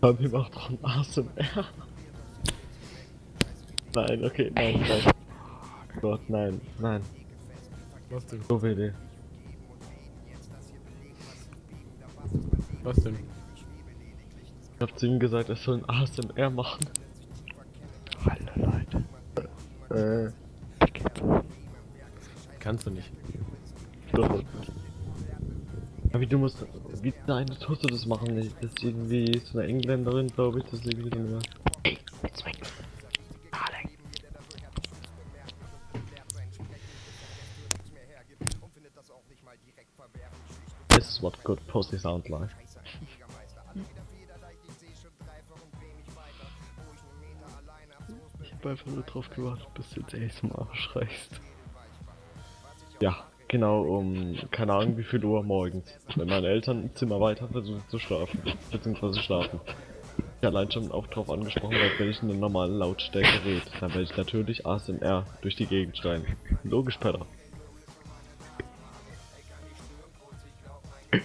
Fabi macht Ron ASMR. nein, okay, nein, nein. Oh Gott, nein, nein. Was denn? So WD. Was denn? Ich hab zu ihm gesagt, er soll ein ASMR machen. Hallo Leute. Äh. Kannst du nicht. Doch. Aber du musst. Wie, nein, du tust du das machen nicht. Das ist irgendwie so eine Engländerin, glaube ich, das ist irgendwie so eine. Ey, jetzt weg. Alec. This is what good pussy sound like. Ich hab einfach nur drauf gewartet, bis du jetzt echt zum Arsch reichst. Ja, genau um, keine Ahnung wie viel Uhr morgens, wenn meine Eltern im Zimmer weiter versuchen zu schlafen, beziehungsweise schlafen. Ich allein schon auch drauf angesprochen, weil wenn ich in einer normalen Lautstärke rede, dann werde ich natürlich ASMR durch die Gegend schreien. Logisch, Pedder.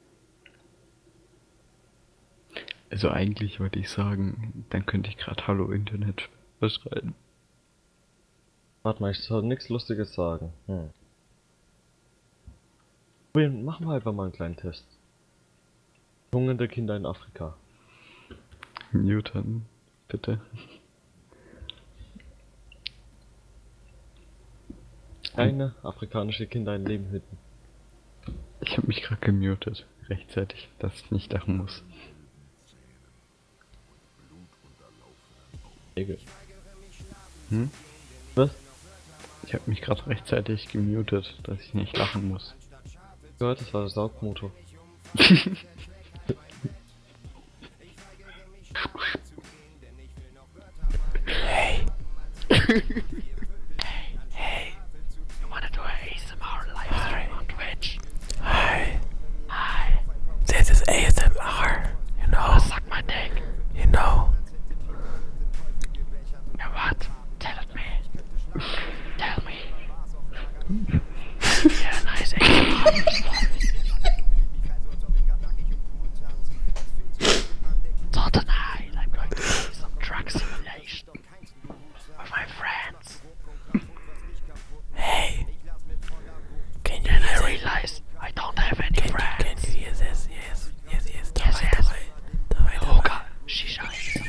Also eigentlich wollte ich sagen, dann könnte ich gerade Hallo Internet beschreiben. Warte mal, ich soll nichts Lustiges sagen. Hm. Probieren, machen wir einfach mal einen kleinen Test. Hungernde Kinder in Afrika. Newton, bitte. Kleine afrikanische Kinder ein Leben hüten. Ich habe mich gerade gemutet, rechtzeitig, dass ich nicht lachen muss. Egel. Hm? Was? Ich habe mich gerade rechtzeitig gemutet, dass ich nicht lachen muss. Gehört, das war der Saugmotor. Hey. hey. Hey. You wanna do an ASMR live stream on Twitch? Hi. Hi. This is ASMR. You know. Wanna suck my dick. You know. You what? Tell it me. Tell me. yeah, nice ASMR. So I'm going to do some truck simulation with my friends. Hey! Can you then realize I don't have any friends. You, can you hear this? Yes, yes, yes. Yes, yes. yes. Dabei, dabei. Oh God, Shisha is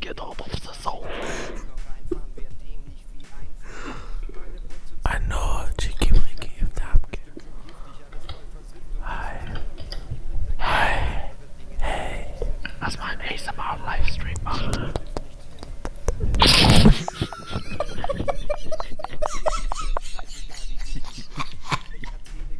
get out of the zone. I know, cheeky breaky if napkin. Hi. Hi. Hey. Lass mal einen ASMR-Livestream machen.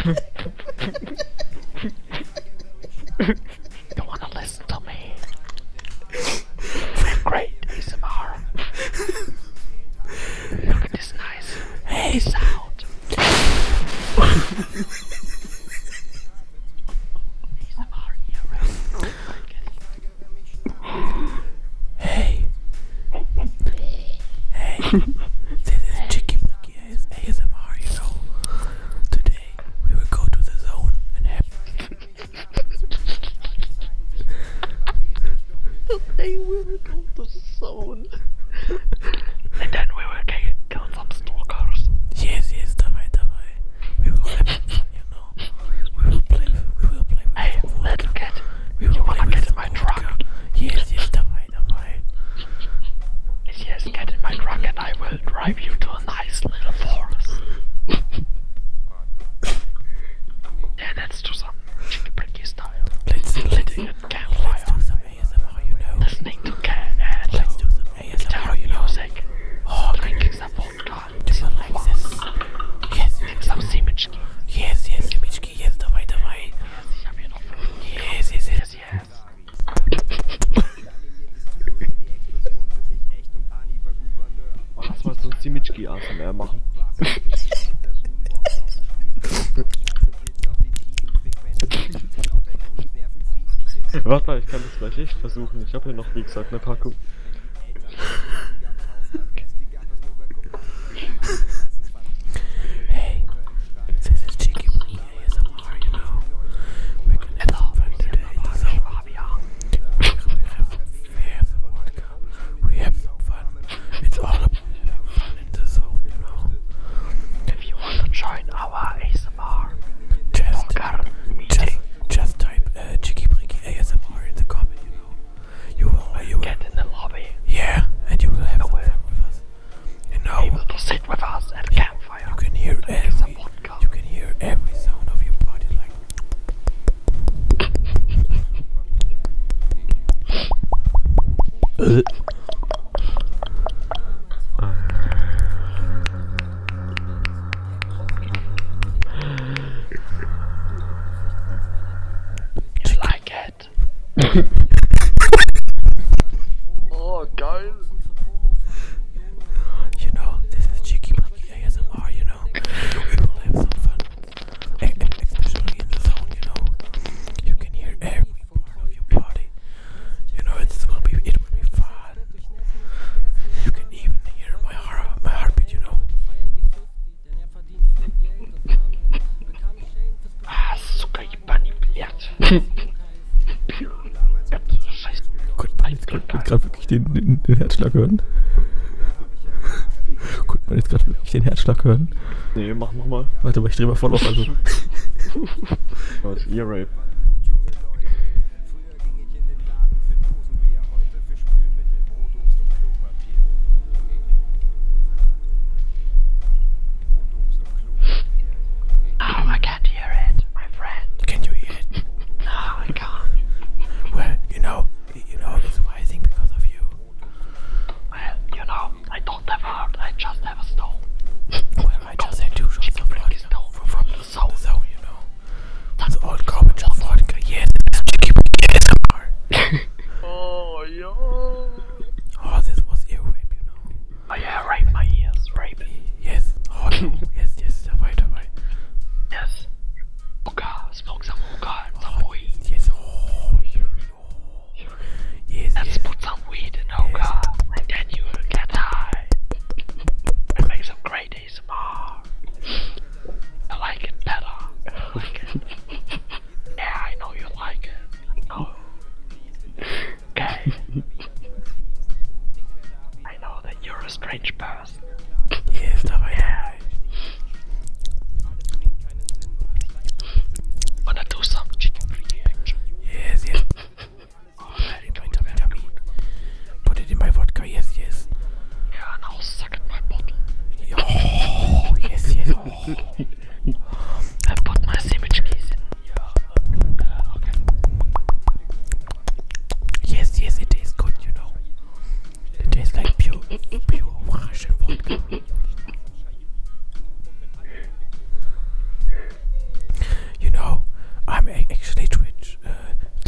you wanna listen to me? great ASMR. Look at this nice hey sound. ASMR earring. Oh Hey. Hey. this is Chicky Blicky ASMR, you know. Today we will go to the zone and have. Today we will go to the zone. and then we will kill some stalkers. Yes, yes, dabei, dabei. We will have fun, you know. We will play. We will play. With hey, vodka. let's get. you wanna get in my vodka. truck? Yes, yes, the way, Yes, get in my truck, and I will drive you to a nice little forest. let's do some chicky pricky style. Let's let's do campfire. Let's to can and let's do some ASMR, guitar know. music. Oh, drinking some vodka. god, do you like this? Yes, nimm es aus, Semitschki. Yes, yes, Semitschki, yes, dabei, dabei. Yes, ich habe hier noch fünf. Yes, yes, yes, yes. Lass mal so Semitschki ASMR machen. Warte mal, ich kann das gleich echt versuchen. Ich habe hier noch, wie gesagt, eine Packung. hey, this is Cheeky Bunny ASMR, We're gonna have fun today. So, we have, we have some vodka. We have some It's all about in the zone, you know. If you want to join our ASMR, just, just, type uh, Cheeky Bunny ASMR in the comment, you will. get in the lobby. Yeah, and you will have a fun with us. And now able to sit with us at the campfire. You can hear every. You can hear every sound of your body, like you like it? oh, guys. You know, this is Cheeky Monkey ASMR, you know. We will have some fun. especially in the zone, you know. You can hear every part of your body. You know, it's, it will be, it will be fun. You can even hear my, heart, my heartbeat, you know. Ah, Zucker, Bunny, Blatt. Jetzt gerade wirklich den, den, den Herzschlag hören. Konnte man jetzt gerade wirklich den Herzschlag hören? Nee, mach nochmal. Warte mal, ich drehe mal voll auf. Also. Was? Ear Rape. Er oh, I can't hear it, my friend. Can you hear it? no, I can't. Well, you know, you know, it's rising because of you. Well, you know, I don't have a heart, I just have a soul. well, I just had two shots of blood from, from the soul, so you know. That's old garbage of vodka. Yes, it's chicken. Yes, Oh, yo. Oh, this was earrape, you know. Oh, yeah, rape my oh, ears, rape. Yes, oh, no. yes, yes, dabei, dabei. Yes. Hookah, smoke some hookah and some oh, weed. Yes, oh, you, oh. Yes, Let's yes. put some weed in hookah yes. and then you will get high. and make some great made ASMR. I like it better. I like it. yeah, I know you like it. Oh. Okay. I know that you're a strange person. Yes, dabei. Yeah. Wanna do some chicken reaction? Yes, yes. Oh, it in my tummy, tummy. Put it in my vodka go, oh, yes, yes. Yeah, and I'll suck at my bottle. Oh, yes, yes. Oh. I put my sandwich keys in. Yeah. Uh, okay. Yes, yes, it tastes good, you know. It tastes like pure, pure Russian vodka. You know, I'm actually Twitch uh,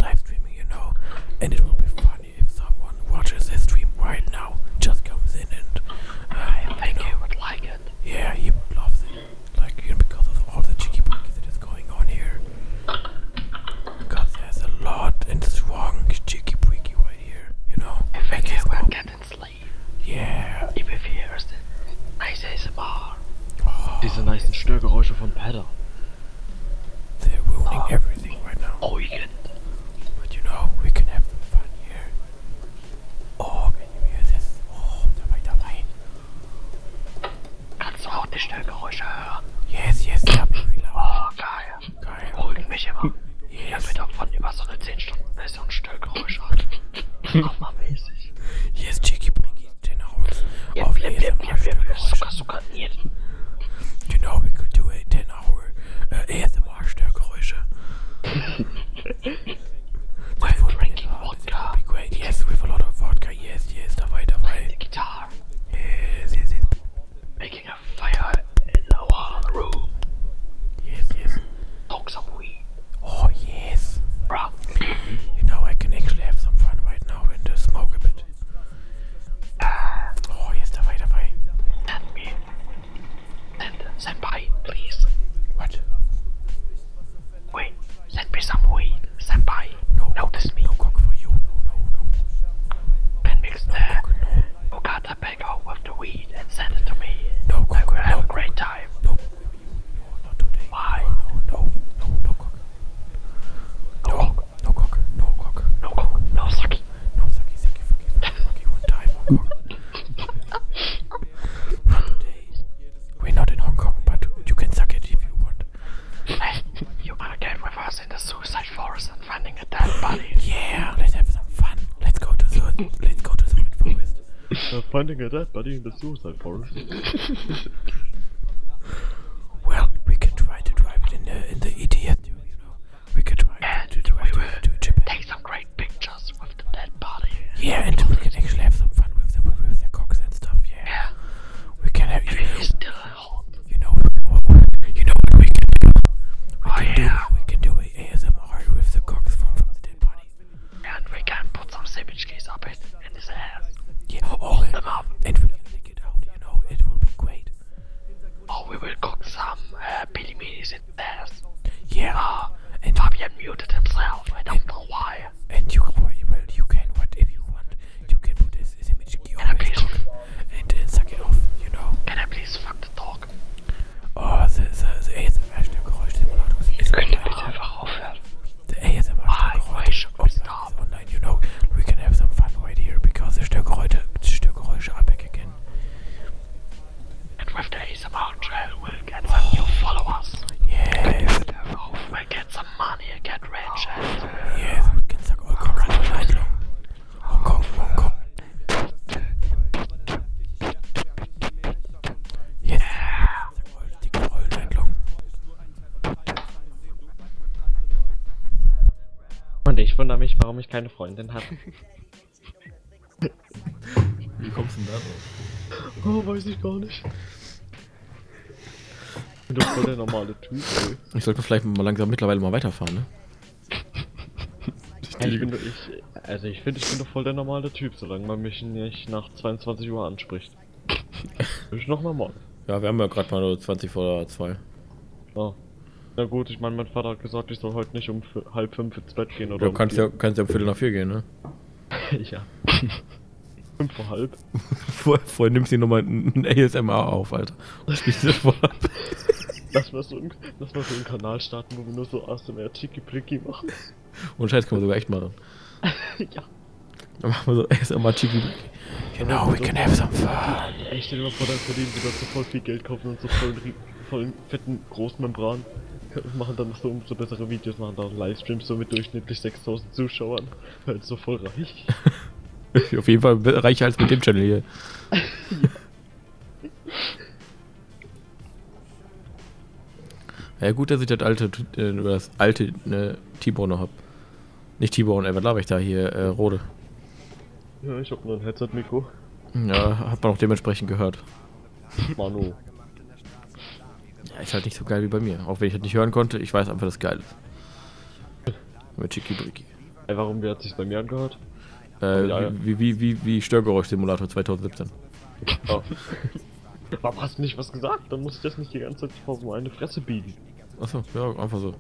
live streaming, you know, and it will be fun if someone watches this stream right now, just comes in and I um, think you he would like it. Yeah, he loves it. Like because of all the cheeky pokey that is going on here. Because there's a lot and strong cheeky breaky right here, you know. I think he will get and sleep. Yeah. If he hears the oh, nice ASMR. Oh, Diese nice Störgeräusche von Pedder. They're ruining oh. everything right now. Oh, you can. But you know, we can have fun here. Oh, can you hear this? Oh, dabei, dabei. Kannst du auch die Störgeräusche hören? Yes, yes, ja, Baby Oh, geil. Geil. Beruhigt mich immer. Yes. Ich hab mir davon über so eine 10-Stunden-Version Störgeräusche. Hammermäßig. Hier ist Chicky Brinky den Haus. Auf jeden Fall. Störgeräusche. Sogar, sogar, You know, we could do it. in our äh, ASMR-Störgeräusche. that would be, that Yes, with a lot of vodka. Yes, yes, dabei, dabei. The guitar. Yes, yes, yes. Making a fire in the wall room. Yes, yes. Talk some weed. Oh yes. Bruh. You know I can actually have some fun right now and uh, smoke a bit oh, yes, давай, давай. Send me. Send, senpai, please. What? Wait, send me some weed. Senpai, no, notice me. No cock for you, no, no, no. Ben mix eh, the weed and send it to me. No will have a great time. Why? no, no, no, no, cock, no cock, no cock, no cock, no sucky, no sucky, sucky, fucky, fucky, fucky, one time, one cock. Not today. We're not in Hong Kong, but you can suck it if you want. Hey, you wanna get with us in the suicide forest and finding a dead body? yeah, let's have some fun. Let's go to the let's go to the forest. Uh, finding a dead body in the suicide forest. well, we can try to drive it in the in the ETS, you know. We could try and to, to, we to, will to take some great pictures with the dead body. Yeah, and we can actually have some fun with the with the cocks and stuff. Yeah. yeah. We can have. It is still hot. You know. You know what we can do. We oh, can yeah. do. We can do ASMR with the cocks from from the dead body. And we can put some sandwich case up it in his ass. Yeah. Oh, them up. And we can take it out. You know, it will be great. Oh, we will cook some uh, pili minis in there. Yeah. Uh, and Fabian muted himself. I don't and, know why. And you, well, you can, what if you want, you can put this, this image key on and uh, suck it off, you know. Can I please fuck the dog? Oh, the, the, the ASMR-Stimmgeräusch-Simulator is Könnt ihr bitte einfach aufhören? The ASMR-Stimmgeräusch online, you know. We can have some fun right here because the Stimmgeräusche Störgeräusche aberkennen. And with the ASMR trail we'll get some oh. new followers. Yes. We'll get some money, get rich. And yes, we can suck all cock and Leidlung. Hong Kong, Hong Kong. Yes. Yeah. Dicke Leidlung. Und ich wundere mich, warum ich kein keine Freundin habe. Wie kommst du denn da drauf? Oh, weiß ich gar nicht. Ich bin doch voll der normale Typ, ey. Ich sollte vielleicht mal langsam mittlerweile mal weiterfahren, ne? Ich also bin, ich, also ich finde, ich bin doch voll der normale Typ, solange man mich nicht nach 22 Uhr anspricht. Bin ich noch normal. Ja, wir haben ja gerade mal nur 20 vor 2. Ja. Na gut, ich meine, mein Vater hat gesagt, ich soll heute nicht um halb fünf ins Bett gehen oder. Du kannst um ja, kannst ja um Viertel nach vier gehen, ne? ja. fünf vor halb. vorher, vorher nimmst du nochmal ein ASMR auf, Alter. Und spielst das vorher ab. Lass mal, so einen, lass mal so einen Kanal starten, wo wir nur so ASMR Tiki-Pliki machen. Und Scheiß können wir sogar echt machen. ja. Dann machen wir so ASMR Tiki-Pliki. You genau, know, genau, we can have some fun. Ich stell dir mal vor, dann verdienen wir dazu voll viel Geld. Geld kaufen und so voll, voll fetten Großmembran und machen dann noch so umso bessere Videos, machen dann Livestreams so mit durchschnittlich 6000 Zuschauern. Halt so voll reich. Auf jeden Fall reicher als mit dem Channel hier. ja. ja gut, dass ich das alte, äh, das alte ne, T-Bone noch hab. Nicht T-Bone, äh, was glaube ich da hier, äh, Rode. Ja, ich habe nur ein Headset-Mikro. Ja, hat man auch dementsprechend gehört. Manu. Ja, ist halt nicht so geil wie bei mir. Auch wenn ich das nicht hören konnte, ich weiß einfach, dass es geil ist. Mit Chikibriki. Ey, warum, wie hat sich bei mir angehört? Äh, ja, ja. wie, wie, wie, wie Störgeräusch-Simulator 2017. Oh. Warum hast du nicht was gesagt? Dann muss ich das nicht die ganze Zeit vor so eine Fresse biegen. Achso, ja, einfach so.